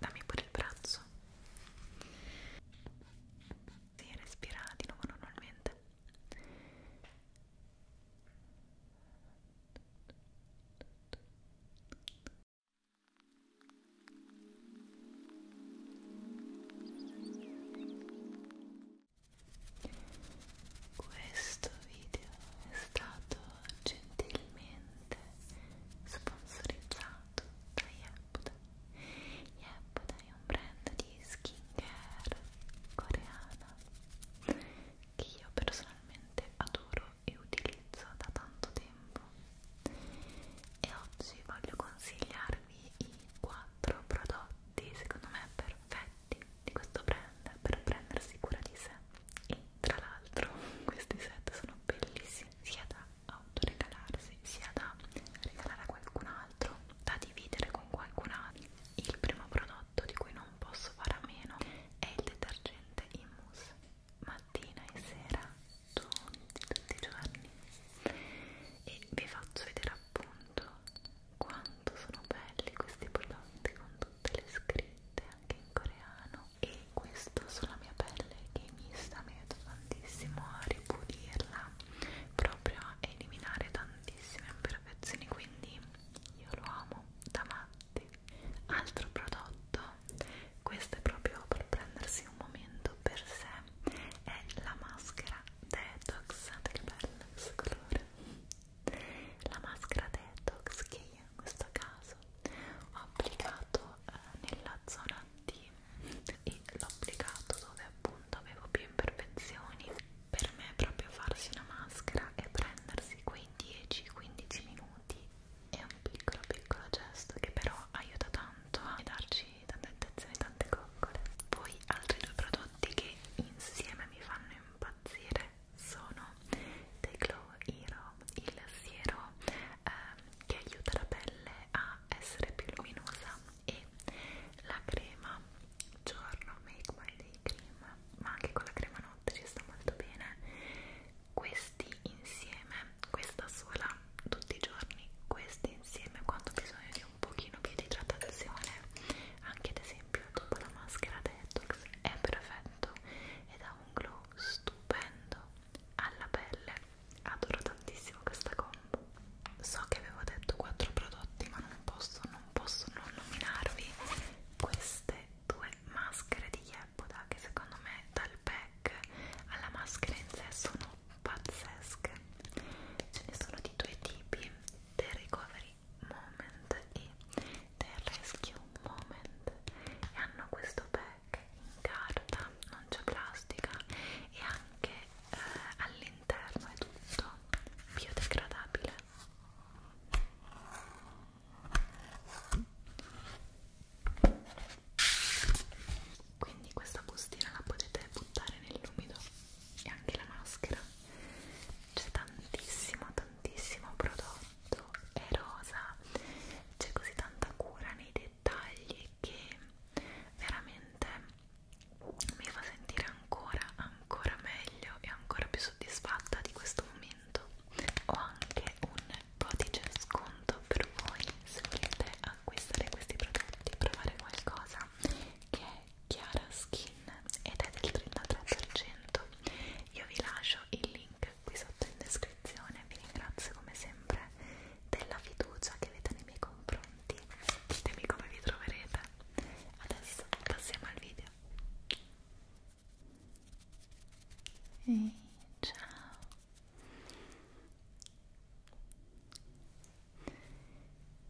Dammi pure il braccio. Si respira di nuovo normalmente. Questo video è stato gentilmente sponsorizzato da Yepuda. Yepuda è un brand di skincare coreana che io personalmente adoro e utilizzo da tanto tempo e oggi voglio consigliarvi i 4 prodotti secondo me perfetti di questo brand per prendersi cura di sé e tra l'altro questi set sono bellissimi sia da autoregalarsi sia da regalare a qualcun altro da dividere con qualcun altro il primo prodotto prodotto esatto, di cui non posso fare a meno è il detergente in mousse mattina e sera tutti, tutti i giorni e vi faccio vedere appunto quanto sono belli questi prodotti con tutte le scritte anche in coreano e questo sulla mia pelle che mi sta aiutando tantissimo a ripulirla proprio a eliminare tantissime imperfezioni quindi io lo amo da matto prodotti altro prodotto questo è proprio per prendersi un momento per sé è la maschera detox che bello questo colore la maschera detox che io in questo caso ho applicato eh, nella zona D e l'ho applicato dove appunto avevo più imperfezioni per me è proprio farsi una maschera e prendersi quei quei 10-15 minuti è un piccolo piccolo gesto che però aiuta tanto a darci tante attenzioni e tante coccole poi altri due prodotti che insieme mi fanno impazzire sono The Glow Hero il siero ehm, che aiuta la pelle a essere più luminosa e la crema giorno Make My Day Cream ma anche con la crema notte ci sta molto bene questi insieme questa sola tutti i giorni questi insieme quando ho bisogno di un pochino più di idratazione anche ad esempio dopo la maschera detox è perfetto ed ha un glow stupendo alla pelle adoro tantissimo questa combo so che avevo detto quattro prodotti ma non posso non posso non nominarvi queste due maschere di Yeboda che secondo me dal pack alla maschera in sé sono pazzesche ce ne sono di due tipi The Recovery Moment e The Rescue Moment e hanno questo pack in carta, non c'è plastica e anche eh, all'interno è tutto biodegradabile quindi questa bustina la potete buttare nell'umido e anche la maschera c'è tantissimo tantissimo prodotto è rosa c'è così tanta cura nei dettagli che veramente mi fa sentire ancora ancora meglio e ancora più soddisfatta di questo momento ho anche un codice sconto per voi se volete acquistare questi prodotti provare qualcosa che è Chiara Skin ed è del 33% io vi lascio il link qui sotto in descrizione vi ringrazio come sempre della fiducia che avete nei miei confronti ditemi come vi troverete adesso passiamo al video Ehi, ciao.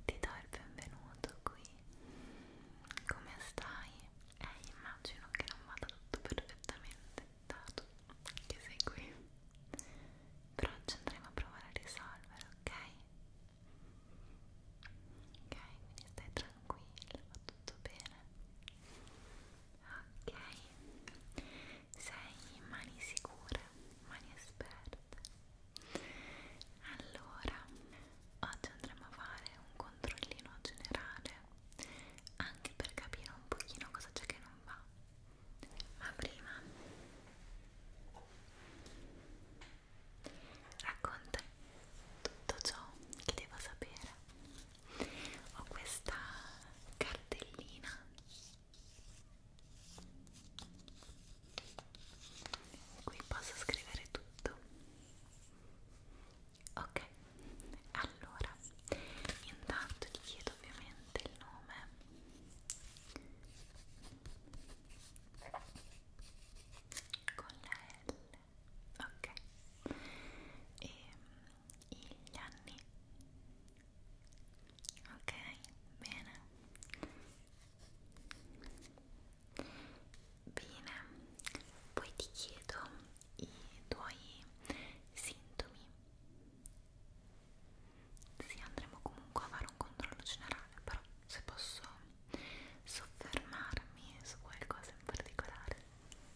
Ti do il benvenuto qui. Come stai? Eh, immagino che non vada tutto perfettamente, dato che sei qui. Però ci andremo a provare a risolvere, ok? Ok, quindi stai tranquilla, va tutto bene ok sei in mani sicure mani esperte allora oggi andremo a fare un controllino generale anche per capire un pochino cosa c'è che non va ma prima racconta tutto ciò che devo sapere ho questa cartellina in cui posso scrivere tutto ok allora intanto ti chiedo ovviamente il nome con la L ok e mm, gli anni ok bene bene poi ti chiedo i tuoi sintomi sì andremo comunque a fare un controllo generale però se posso soffermarmi su qualcosa in particolare Ok.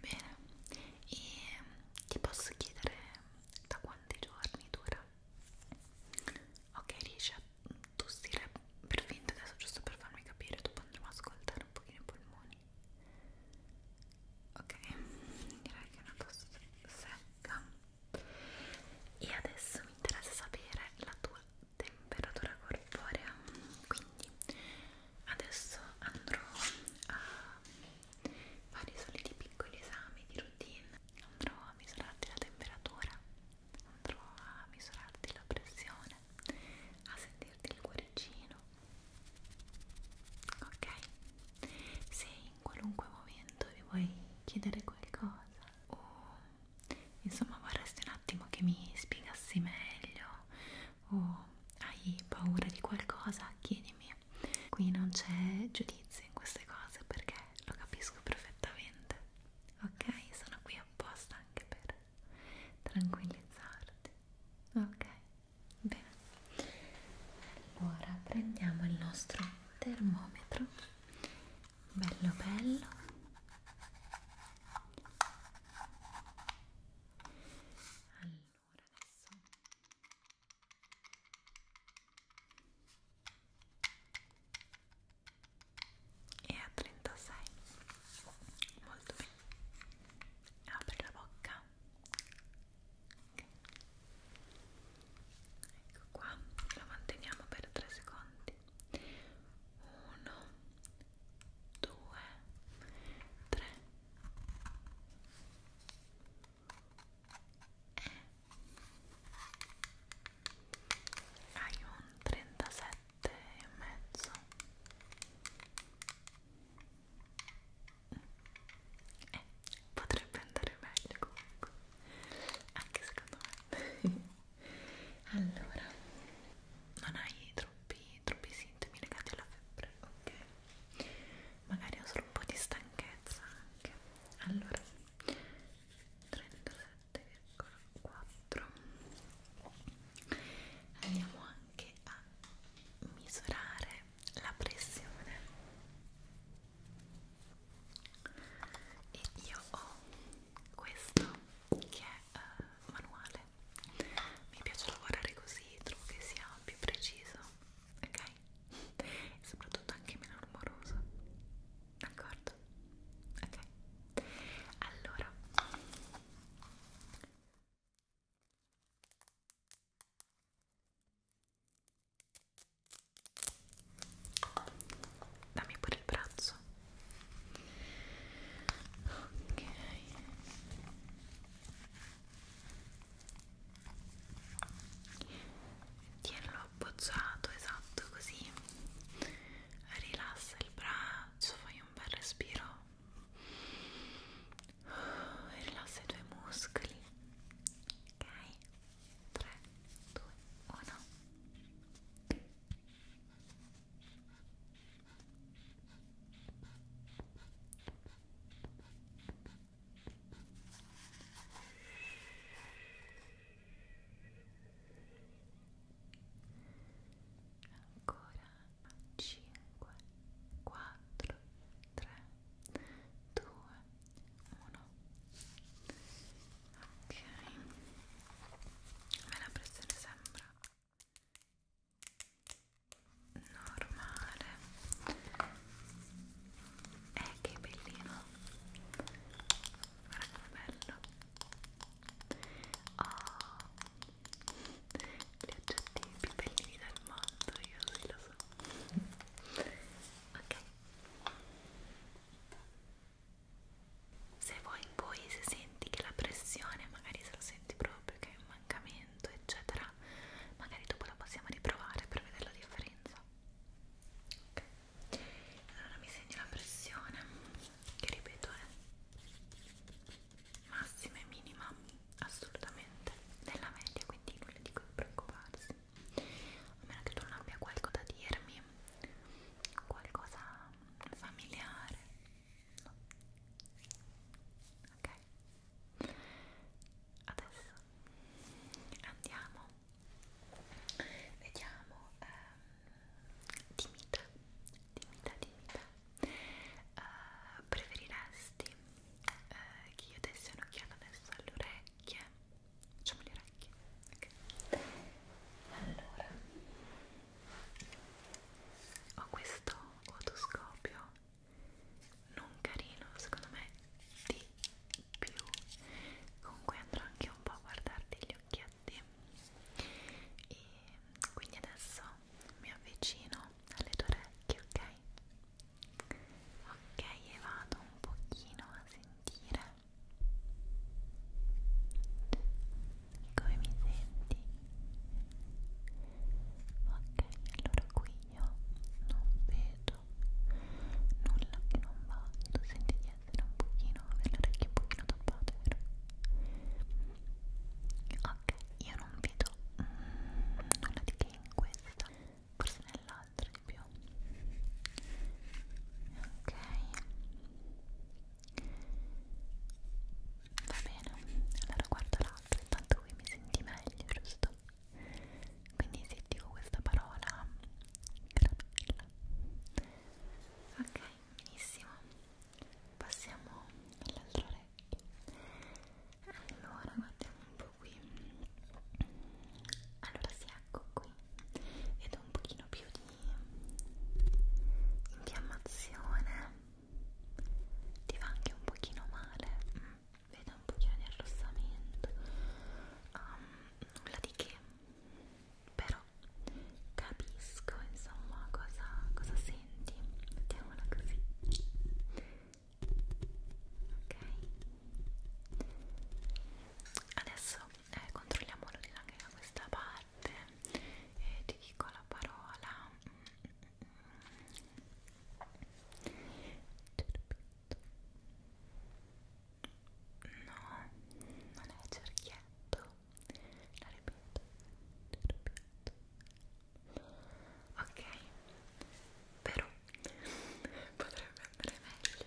Bene, e ti posso chiedere da quanti giorni dura ok riesci a tossire per finta adesso giusto per farmi capire dopo andremo a ascoltare un pochino i polmoni ok direi che è una tosse secca e adesso mi interessa sapere la tua temperatura corporea quindi adesso andrò a fare i soliti piccoli esami di routine andrò a misurarti la temperatura andrò a misurarti la pressione a sentirti il cuoricino ok? se in qualunque momento vi vuoi chiedere qualcosa o insomma vorresti un attimo che mi spiegassi meglio o hai paura di qualcosa chiedimi mia qui non c'è giudizio in queste cose perché lo capisco perfettamente ok sono qui apposta anche per tranquillizzarti ok bene ora prendiamo il nostro termometro bello bello allora adesso e a 36 molto bene apri la bocca okay. ecco qua lo manteniamo per 3 secondi 1 2 3 hai un 37 e mezzo eh, potrebbe andare meglio comunque anche secondo me allora non hai troppi, troppi sintomi legati alla febbre ok magari ho solo un po' di stanchezza anche allora 37,4 andiamo anche a misurare la pressione e io ho questo che è uh, manuale mi piace lavorare così trovo che sia più preciso ok? E soprattutto anche meno rumoroso, d'accordo? Ok, allora dammi pure il braccio ok tienilo appoggiato esatto così rilassa il braccio fai un bel respiro e rilassa i tuoi muscoli ok 3 2 1 ok ancora 5 4 3 2 1 ok a me la pressione sembra normale e eh, che bellino guarda che bello oh gli oggetti più bellini del mondo io sì lo so ok se vuoi poi se senti che la pressione magari se lo senti proprio che manca meno adattamento eccetera magari dopo la possiamo riprovare per vedere la differenza ok allora mi segno la pressione che ripeto è massima e minima assolutamente nella media quindi nulla di cui preoccuparsi a meno che tu non abbia qualcosa da dirmi qualcosa familiare no ok adesso andiamo vediamo ehm, dimita dimita dimita eh, preferiresti eh, che io dessi un'occhiata adesso alle orecchie facciamo le orecchie okay. allora ho questo otoscopio non carino secondo me di più comunque andrò anche un po' a guardarti gli occhietti e quindi adesso mi avvicino alle tue orecchie ok? ok e vado un pochino a sentire come mi senti? ok allora qui io non vedo faccio nulla che non va tu senti di essere un pochino avere le orecchie un pochino tappate vero? ok io non vedo mm, nulla di che in questa forse nell'altra di più ok va bene allora guardo l'altra intanto qui mi senti meglio giusto? quindi se dico questa parola caramella ok benissimo passiamo all'altro orecchio allora guardiamo un po' qui allora si sì, ecco qui vedo un pochino più di infiammazione ti va anche un pochino male mm vedo un pochino di arrossamento um, nulla di che però capisco insomma cosa, cosa senti mettiamola così ok adesso eh, controlliamo l'udito anche da questa parte e ti dico la parola No, non è cerchietto. La ripeto, la ripeto. Ok, però potrebbe andare meglio.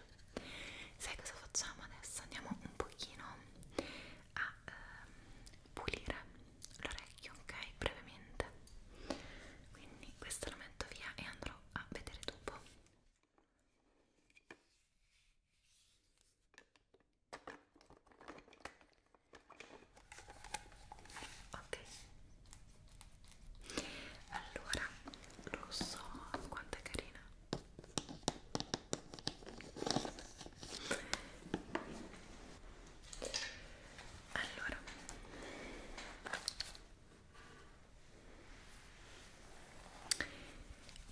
Sai cosa facciamo adesso? Andiamo un pochino a ehm, pulire l'orecchio, ok? Brevemente. Quindi questo lo metto via e andrò andrò a vedere dopo ok allora lo so quanto è carina allora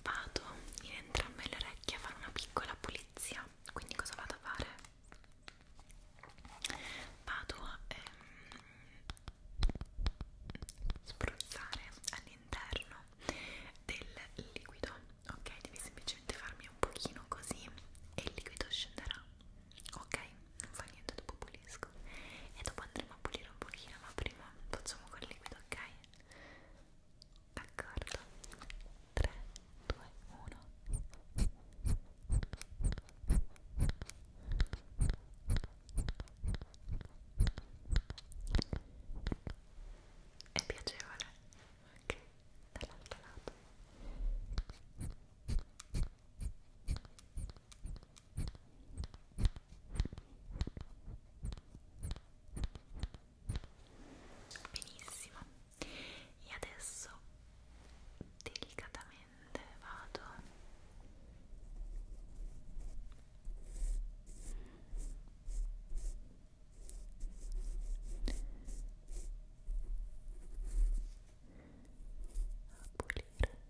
Vado in entrambe le orecchie a fare una piccola pulizia, quindi cosa vado a fare? Vado a ehm, spruzzare all'interno del liquido, ok? Devi semplicemente farmi un pochino così e il liquido scenderà ok non fa niente dopo pulisco e dopo andremo a pulire un pochino ma prima facciamo col liquido ok d'accordo 3 2 1 è piacevole ok dall'altro lato benissimo e adesso delicatamente vado a pulire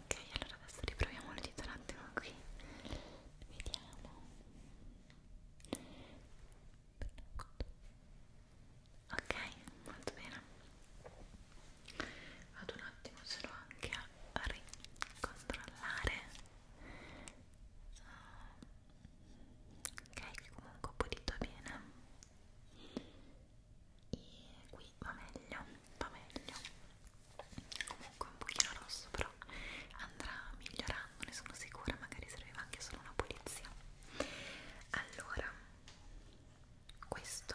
Ok, allora adesso riproviamo le dita un attimo qui. Vediamo. Ok, molto bene. Vado un attimo solo anche a ricontrollare. Ok, che comunque ho pulito bene. E qui va meglio va meglio comunque un pochino rosso però andrà migliorando ne sono sicura magari serviva anche solo una pulizia allora questo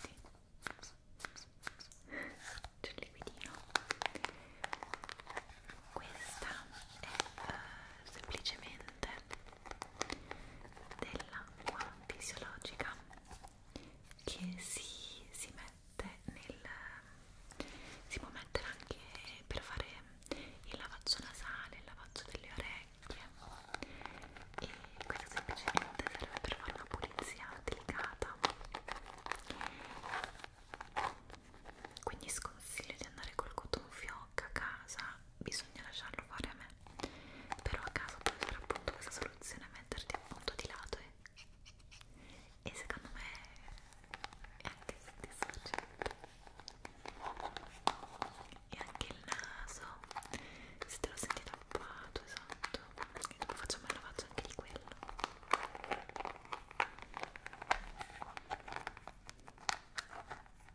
senti c'è il liquidino questa è uh, semplicemente dell'acqua fisiologica che si, si mette nel si può mettere anche per fare il lavaggio nasale, il lavaggio delle orecchie e questo semplicemente serve per fare una pulizia delicata quindi sconsiglio di andare col cotton fioc a casa bisogna lasciarlo fare a me però a caso puoi usare appunto questa soluzione metterti appunto di lato e, e secondo me è anche soddisfacente e anche il naso se te lo senti tappato esatto e dopo facciamo il lavaggio anche di quello Ok.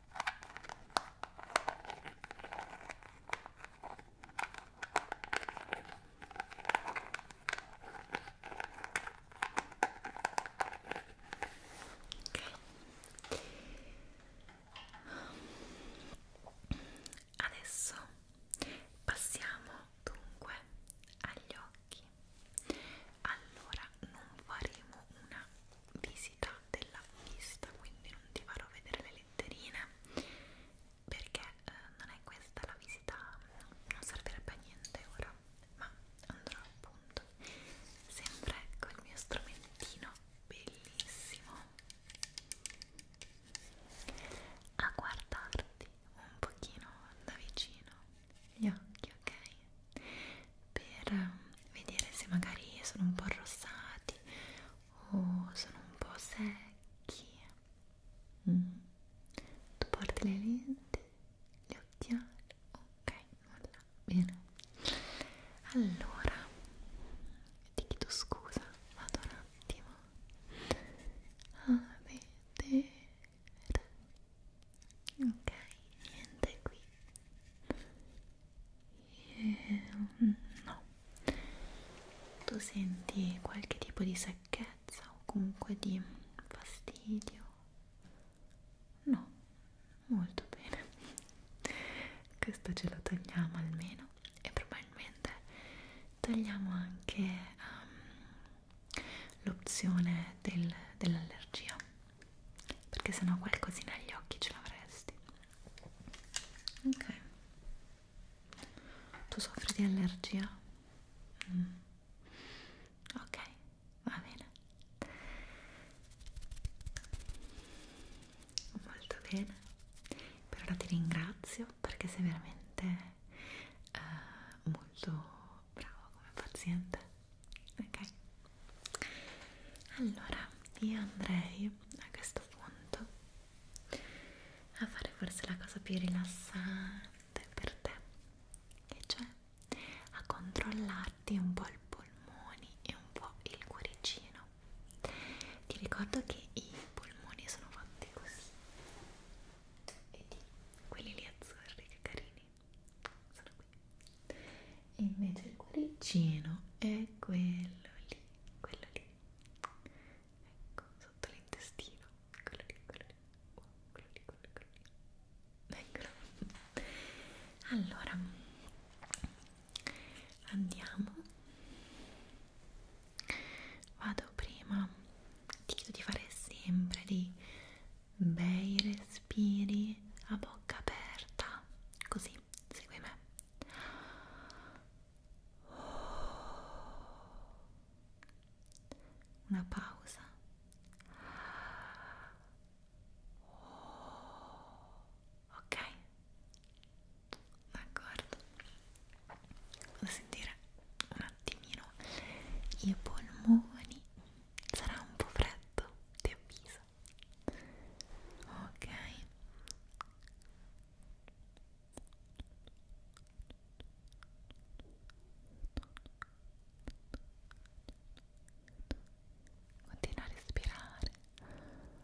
Adesso passiamo dunque agli occhi. Allora non faremo una visita della vista, quindi non ti farò vedere le letterine perché eh, non è questa la visita, non servirebbe a niente ora, ma andrò appunto sempre col ecco mio strumentino bellissimo a guardarti un pochino da vicino gli occhi, ok? per ehm, vedere se magari sono un po' arrossati o sono un po' secchi. Mm. Tu porti le lenti, gli occhiali, ok, nulla, bene. Allora, ti chiedo scusa, vado un attimo. A vedere. Ok, niente qui e, ehm, no tu senti qualche tipo di secchezza o comunque di fastidio no molto bene questo ce lo togliamo almeno e probabilmente togliamo anche um, l'opzione del, dell'allergia perché sennò qualcosina agli occhi ce l'avresti ok tu soffri di allergia? Mm. ok va bene molto bene per ora ti ringrazio perché sei veramente eh, molto bravo come paziente ok allora io andrei a questo punto a fare forse la cosa più rilassante per te che cioè a controllarti un po' il polmoni e un po' il cuoricino ti ricordo che i polmoni sono fatti così vedi quelli lì azzurri che carini sono qui e invece il cuoricino è quello lì quello lì ecco sotto l'intestino quello lì quello lì oh, quello lì quello, quello lì eccolo allora andiamo vado prima ti chiedo di fare sempre dei bei respiri a bocca aperta, così, segui me. Una pausa. Ok, d'accordo. Vado a sentire un attimino i polmoni. Sarà un po' freddo, ti avviso naso ok continua a respirare ok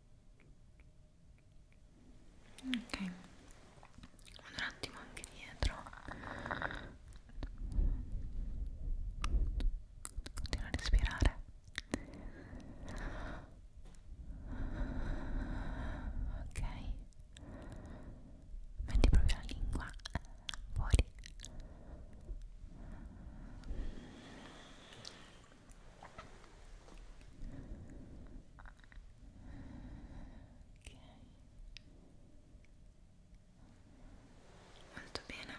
ok un attimo anche dietro continua a respirare ok metti proprio la lingua fuori Ok. Molto bene.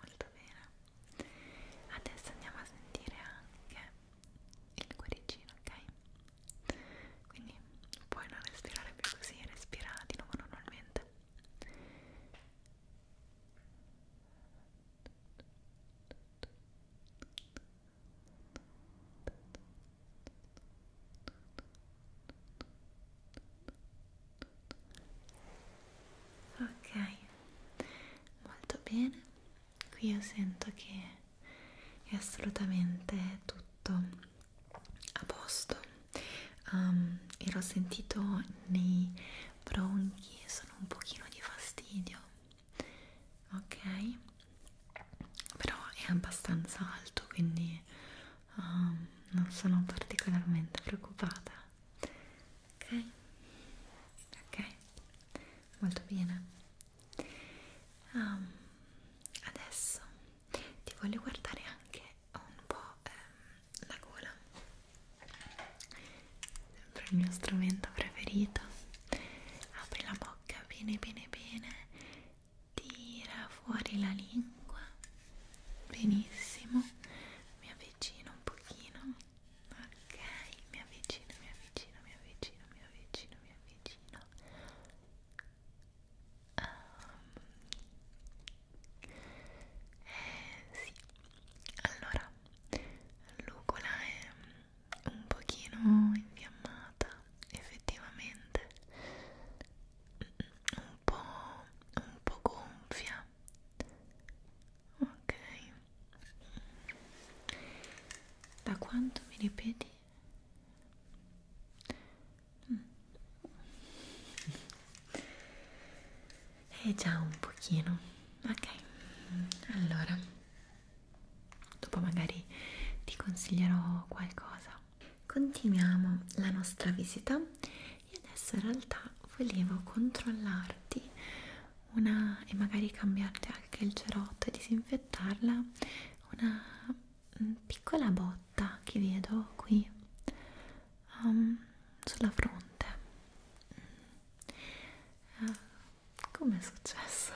Molto bene. Adesso andiamo a sentire anche il cuoricino, ok? Quindi puoi non respirare più così, respira di nuovo normalmente. Ok, molto bene. Qui io sento che è assolutamente tutto a posto. Um, ero sentito nei bronchi sono un pochino di fastidio ok però è abbastanza alto quindi um, non sono particolarmente preoccupata ok ok molto bene um, adesso ti voglio guardare anche un po' ehm, la gola sempre il mio strumento preferito apri la bocca bene bene bene tira fuori la lingua benissimo mi avvicino un pochino ok mi avvicino mi avvicino mi avvicino mi avvicino mi avvicino Um, eh sì, allora l'ugola è un pochino infiammata effettivamente, mm, un po', un po' gonfia, ok. Da quanto mi ripeti? Mm. Eh già un pochino, ok. Allora, dopo magari ti consiglierò qualcosa. Continuiamo la nostra visita e adesso in realtà volevo controllarti una e magari cambiarti anche il cerotto e disinfettarla una mm, piccola botta che vedo qui um, sulla fronte uh, mm. eh, come è successo?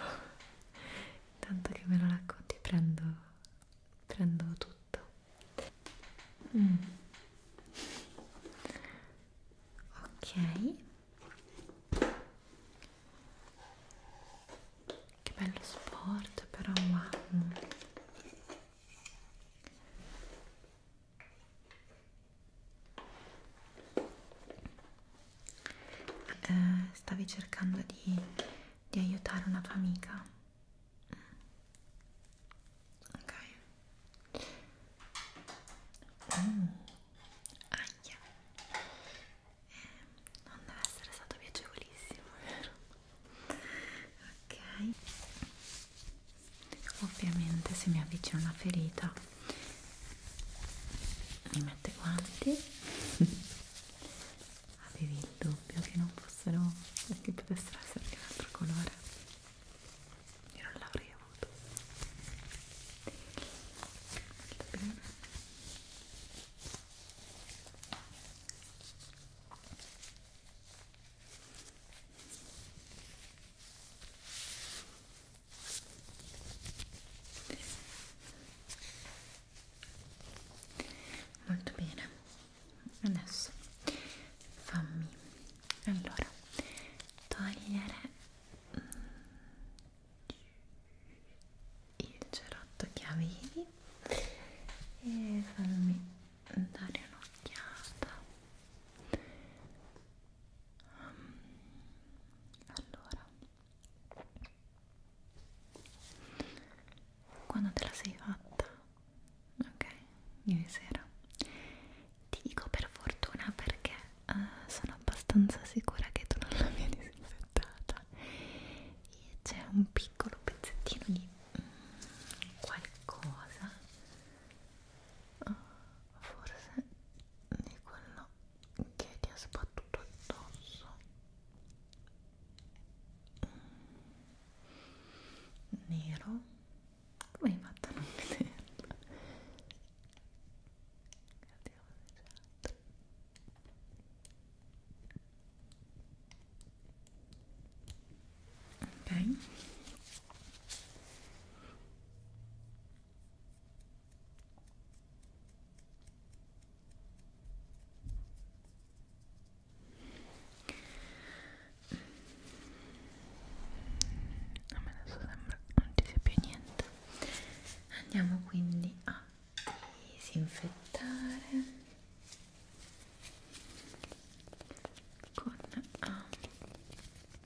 tanto che me lo racconti prendo, prendo tutto mm. ok che bello sport però wow eh, stavi cercando di, di aiutare una tua amica. Mm. Ok. Mm. Aia. Eh, non deve essere stato piacevolissimo, vero? Ok ovviamente se mi avvicino una ferita mi mette guanti avevi il dubbio che non fossero che potessero essere di un altro colore io non l'avrei avuto molto bene molto bene adesso fammi allora togliere mm, il cerotto che avevi e fammi dare un'occhiata um, allora quando te la sei fatta ok ieri sera ti dico per fortuna perché uh, sono abbastanza sicura che tu non l'abbia disinfettata e c'è un piccolo pezzettino di mm, qualcosa Ah, forse di quello che ti ha sbattuto addosso mm. nero come hai fatto a non vederla? ok a me adesso sembra non ci sia più niente andiamo quindi a disinfettare con ah, Okay.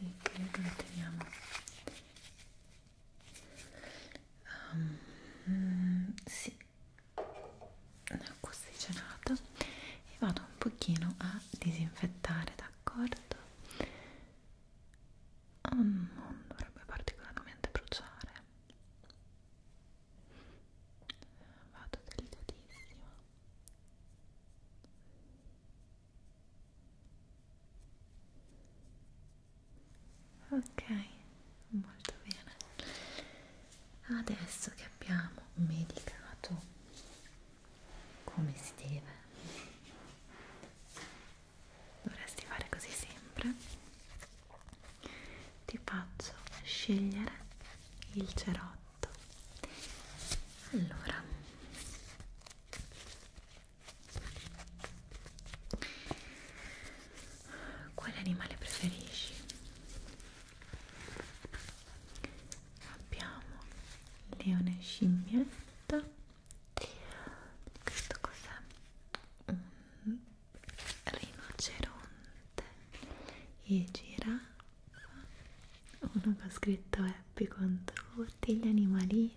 Sí, creo que lo tenemos um, sì così cenato e vado un pochino a disinfettare d'accordo oh, ah, non dovrebbe particolarmente bruciare vado delicatissimo ok molto bene adesso che abbiamo medicato come si deve dovresti fare così sempre ti faccio scegliere il cerotto allora quale animale preferisci? Abbiamo leone scimmietta. Questo cos'è? Un rinoceronte e giraffa. Uno che ha scritto Happy contro tutti gli animalini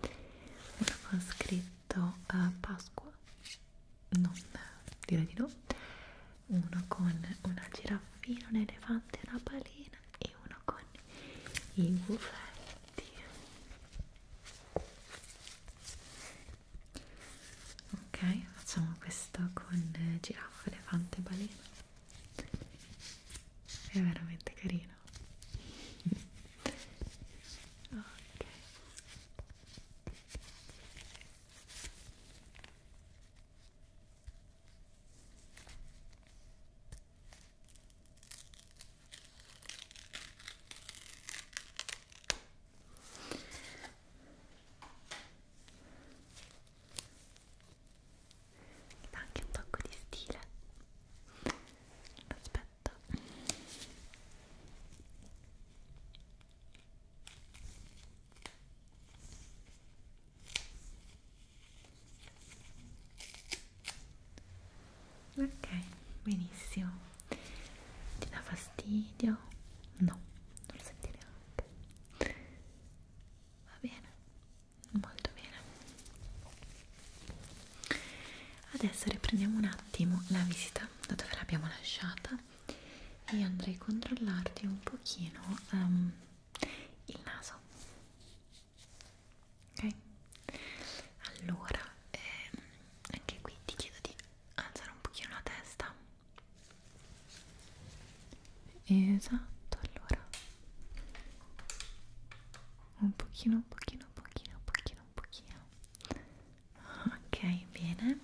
aveva scritto uh, Pasqua non direi di no uno con una giraffina, un elefante, una balena e uno con i buffetti ok facciamo questo con giraffa, elefante, balena è veramente carino no? ok anche un tocco di stile aspetta perfetta ok benissimo ti dà fastidio? no non lo senti neanche va bene molto bene Adesso riprendiamo un attimo la visita da dove l'abbiamo lasciata e andrei a controllarti un pochino um, il naso. Ok? Allora, ehm, anche qui ti chiedo di alzare un pochino la testa. Esatto, allora. Un pochino, un pochino, un pochino, un pochino chiedo un pochino ok bene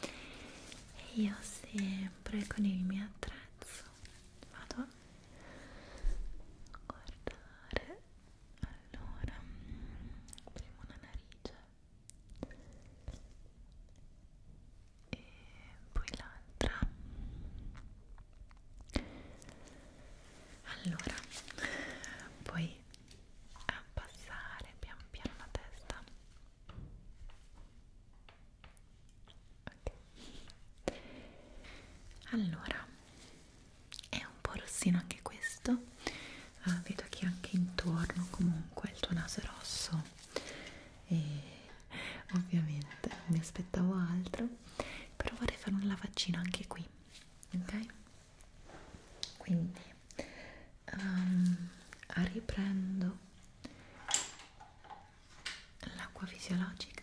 e io sempre con il mio attrezzo vado a guardare allora prima una narice e poi l'altra allora puoi abbassare pian piano la testa okay. allora è un po' rossino anche questo uh, vedo che anche intorno comunque il tuo naso è rosso e ovviamente mi aspettavo altro però vorrei fare un lavaggino anche qui ok quindi um, riprendo l'acqua fisiologica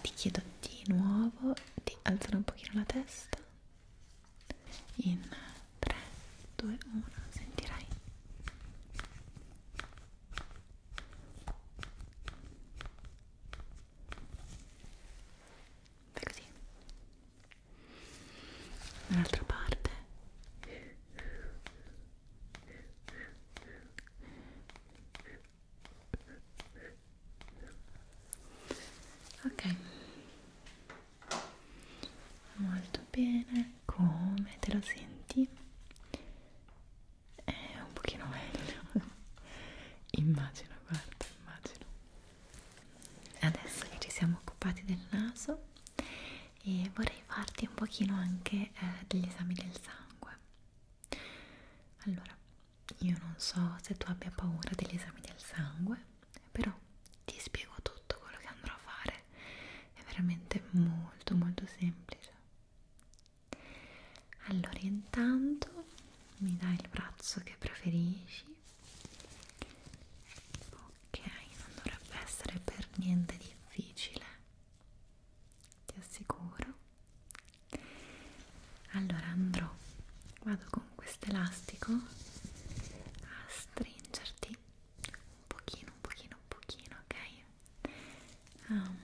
ti chiedo di nuovo di alzare un pochino la testa in 3 2 1 sentirai fai così dall'altra parte ok molto bene come te lo senti? è un pochino meglio immagino guarda immagino adesso che ci siamo occupati del naso e vorrei farti un pochino anche eh, degli esami del sangue allora io non so se tu abbia paura degli esami del sangue però ti spiego tutto quello che andrò a fare è veramente molto molto semplice allora intanto mi dai il braccio che preferisci ok non dovrebbe essere per niente difficile ti assicuro allora andrò vado con quest'elastico a stringerti un pochino un pochino un pochino ok um,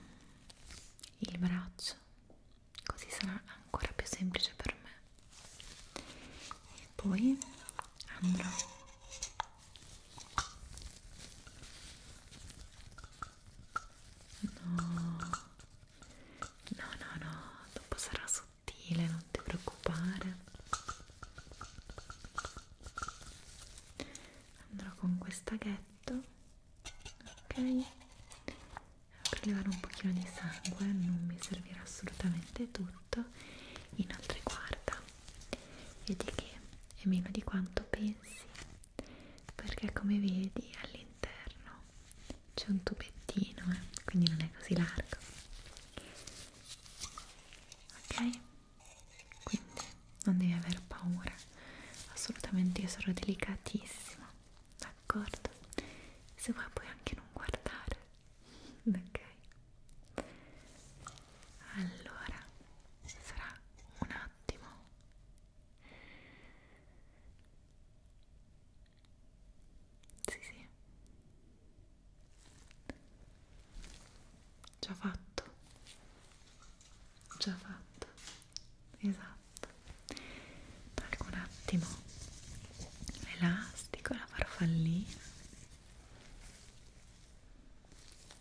il braccio così sarà ancora più semplice per me e poi andrò no no no no dopo sarà sottile non ti preoccupare andrò con questa ghetto ok per levare un pochino di sangue non mi servirà assolutamente tutto inoltre guarda vedi che è meno di quanto pensi perché come vedi all'interno c'è un tubettino eh? quindi non è così largo ok quindi non devi aver paura assolutamente io sarò delicatissima d'accordo? Se vuoi puoi anche non guardare, ok? Allora, fra un attimo. Sì, sì. Già fatto. Già fatto. Esatto. Tolgo un attimo l'elastico, la farfallina.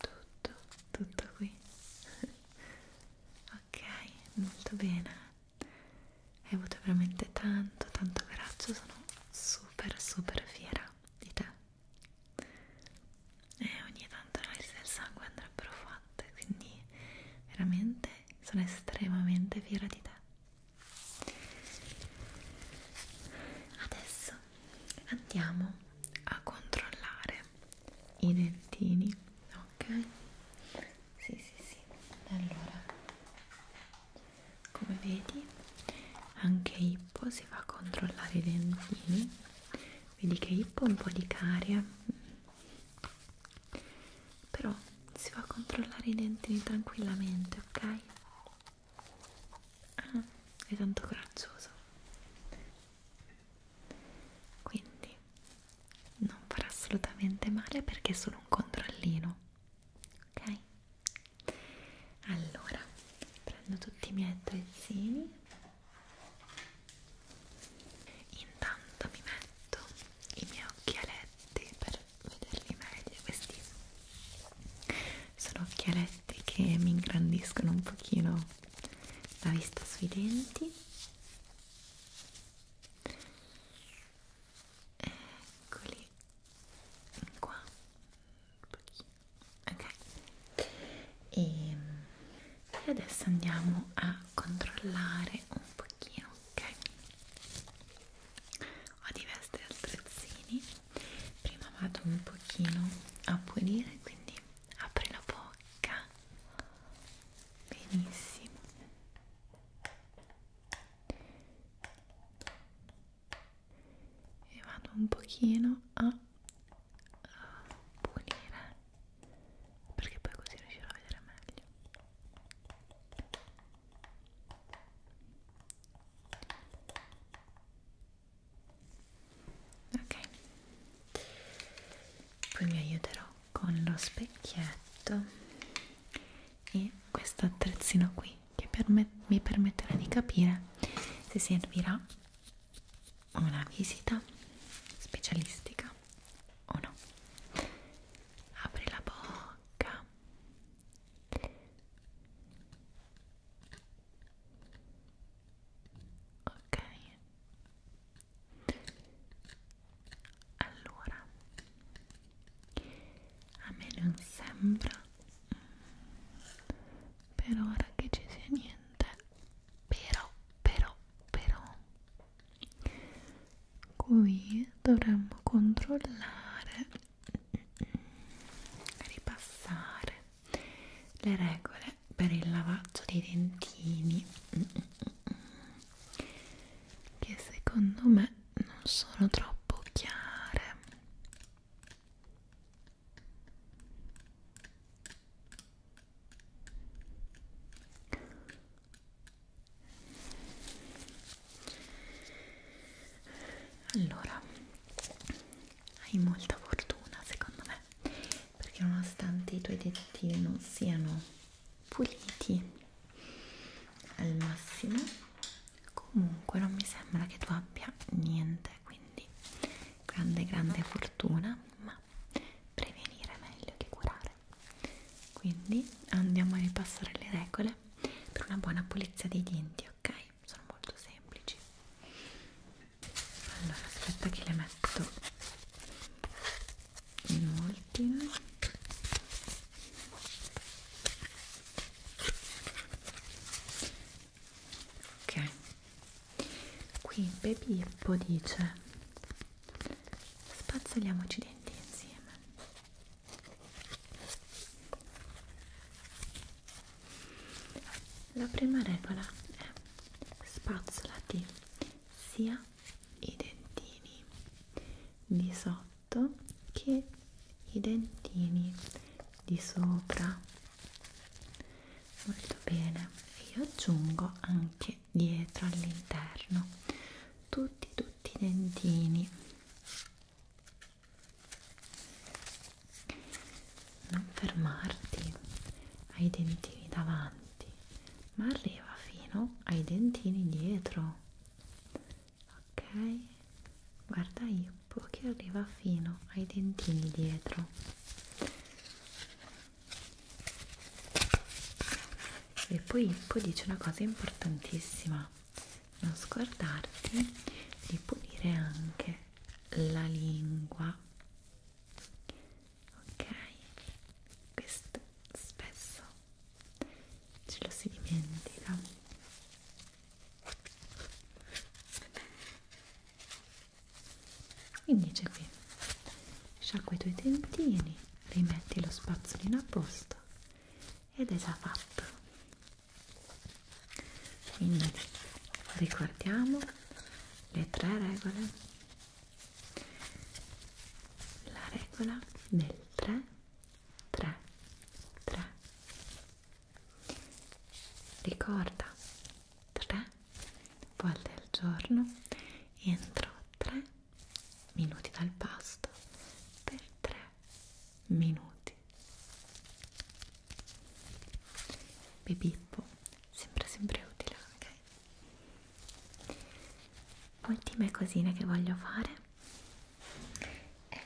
Tutto, tutto qui. ok, molto bene. Hai avuto veramente tanto, tanto coraggio. Sono super, super fiera di te. E ogni tanto l'analisi del sangue andrebbero fatte, quindi veramente sono estremamente fiera di te adesso andiamo a controllare i dentini ok sì sì sì allora come vedi anche Ippo si va a controllare i dentini vedi che Ippo ha un po' di carie però si va a controllare i dentini tranquillamente ok ah, è tanto coraggioso quindi non farà assolutamente male perché è solo un controllino ok allora prendo tutti i miei attrezzini intanto mi metto i miei occhialetti per vederli meglio questi sono occhialetti che mi ingrandiscono un pochino la vista sui denti eccoli qua un pochino ok e, e adesso andiamo a controllare un pochino, ok? Ho diversi attrezzini, prima vado un pochino a pulire, quindi apri la bocca, benissimo. E vado un pochino a pulire perché poi così riuscirò a vedere meglio ok poi mi aiuterò con lo specchietto e questo attrezzino qui che permet mi permetterà di capire se servirà una visita specialistica o no apri la bocca ok allora a me non sembra mm, per ora che ci sia niente però però però qui dovremmo controllare ripassare le regole per il lavaggio dei dentini che secondo me non sono troppo chiare allora, hai molta fortuna secondo me, perché nonostante i tuoi detti non siano puliti al massimo, comunque non mi sembra che tu abbia niente, quindi grande grande fortuna, ma prevenire è meglio che curare fare quindi andiamo a ripassare le regole per una buona pulizia dei denti ok sono molto semplici allora aspetta che le metto in ordine ok qui Baby Hippo dice spazzoliamoci i denti insieme la prima regola è spazzolati sia i dentini di sotto che i dentini di sopra molto bene e io aggiungo anche dietro all'interno tutti tutti i dentini non fermarti ai dentini davanti ma arriva fino ai dentini dietro ok guarda Hippo che arriva fino ai dentini dietro e poi, poi dice una cosa importantissima non scordarti di pulire anche la lingua ok questo spesso ce lo si dimentica quindi c'è qui sciacqua i tuoi dentini rimetti lo spazzolino a posto ed è già fatto quindi ricordiamo le tre regole la regola del 3 3 3 ricorda 3 volte al giorno entro 3 minuti dal pasto per 3 minuti. Bebippo, sempre sempre utile, ok? Ultime cosine che voglio fare è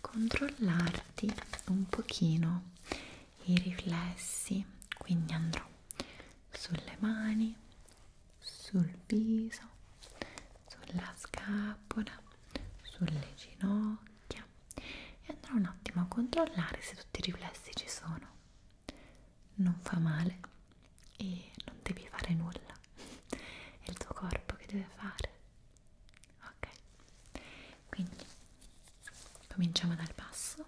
controllarti un pochino i riflessi, quindi andrò sulle mani sul viso, sulla scapola, sulle ginocchia e andrò un attimo a controllare se tutti i riflessi ci sono. Non fa male e non devi fare nulla, è il tuo corpo che deve fare. Ok, quindi cominciamo dal basso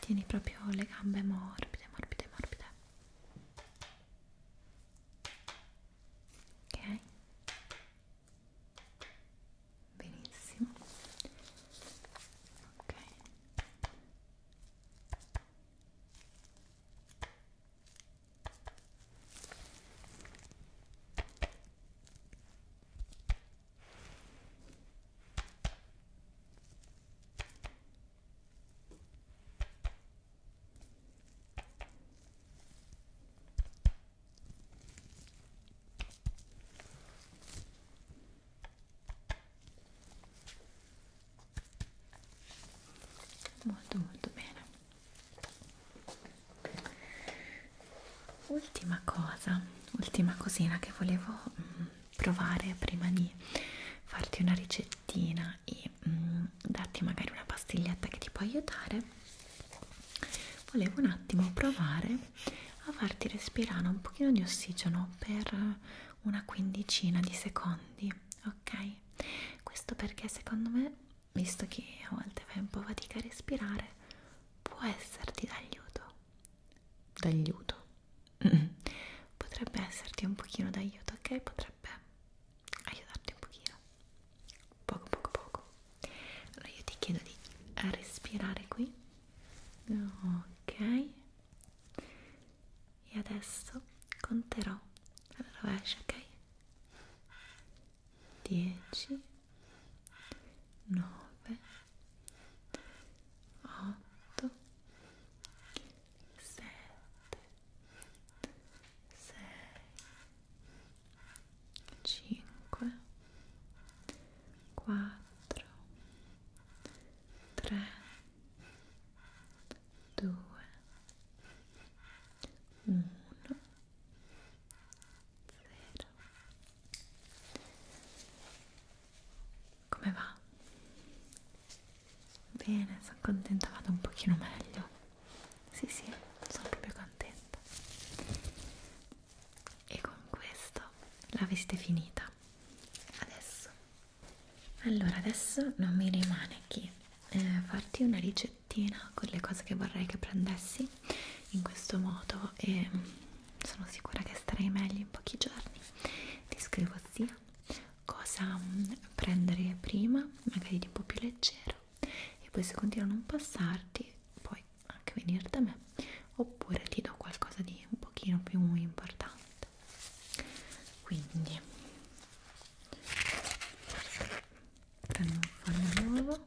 tieni proprio le gambe morbide morbide morbide ok benissimo ok ok molto molto bene ultima cosa ultima cosina che volevo mm, provare prima di farti una ricettina e mm, darti magari una pastiglietta che ti può aiutare volevo un attimo provare a farti respirare un pochino di ossigeno per una quindicina di secondi ok questo perché secondo me visto che a volte fai un po' fatica a respirare può esserti d'aiuto d'aiuto potrebbe esserti un pochino d'aiuto ok potrebbe aiutarti un pochino poco poco poco allora io ti chiedo di respirare qui ok e adesso conterò alla rovescia ok 10 9 8 7 6 5 4 3 2 1 sette, sei, cinque, quattro, tre, due, uno, zero. Come va? Bene, sono contenta, vado un pochino meglio. Sì, sì, sono proprio contenta. E con questo la visita è finita. Adesso. Allora, adesso non mi rimane che eh, farti una ricettina con le cose che vorrei che prendessi in questo modo e mm, sono sicura che starai meglio in pochi giorni. Ti scrivo sia cosa mm, prendere prima, magari di un po' più leggero e poi se continua a non passarti puoi anche venire da me oppure ti do qualcosa di un pochino più importante quindi prendo un foglio nuovo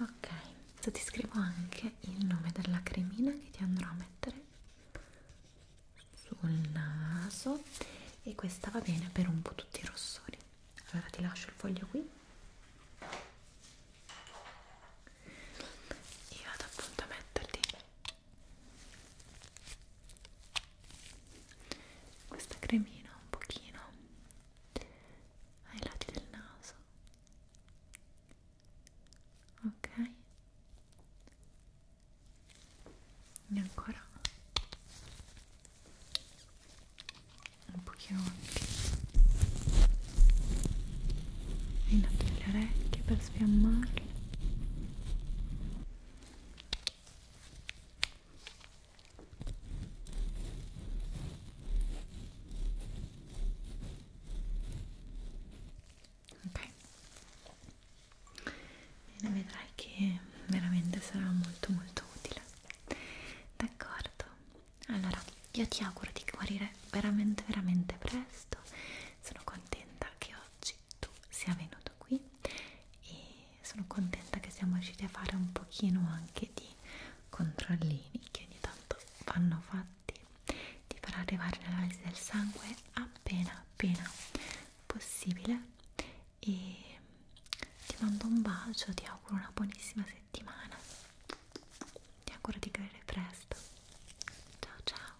ok adesso ti scrivo anche il nome della cremina che ti andrò a mettere sul naso e questa va bene per un po' tutti i rossori allora ti lascio il foglio qui e vado appunto a metterti questa cremina un pochino ai lati del naso ok e ancora un pochino anche ai lati delle orecchie per sfiammarle Ok, bene, vedrai che veramente sarà molto molto utile. D'accordo? Allora, io ti auguro di guarire veramente veramente presto. Sono contenta che oggi oggi tu sia venuto qui e sono contenta che siamo riusciti a fare un pochino anche di controllini che ogni tanto vanno fatti ti farà arrivare l'analisi del sangue appena appena possibile e ti mando un bacio, ti auguro una buonissima settimana ti auguro di cadere presto ciao ciao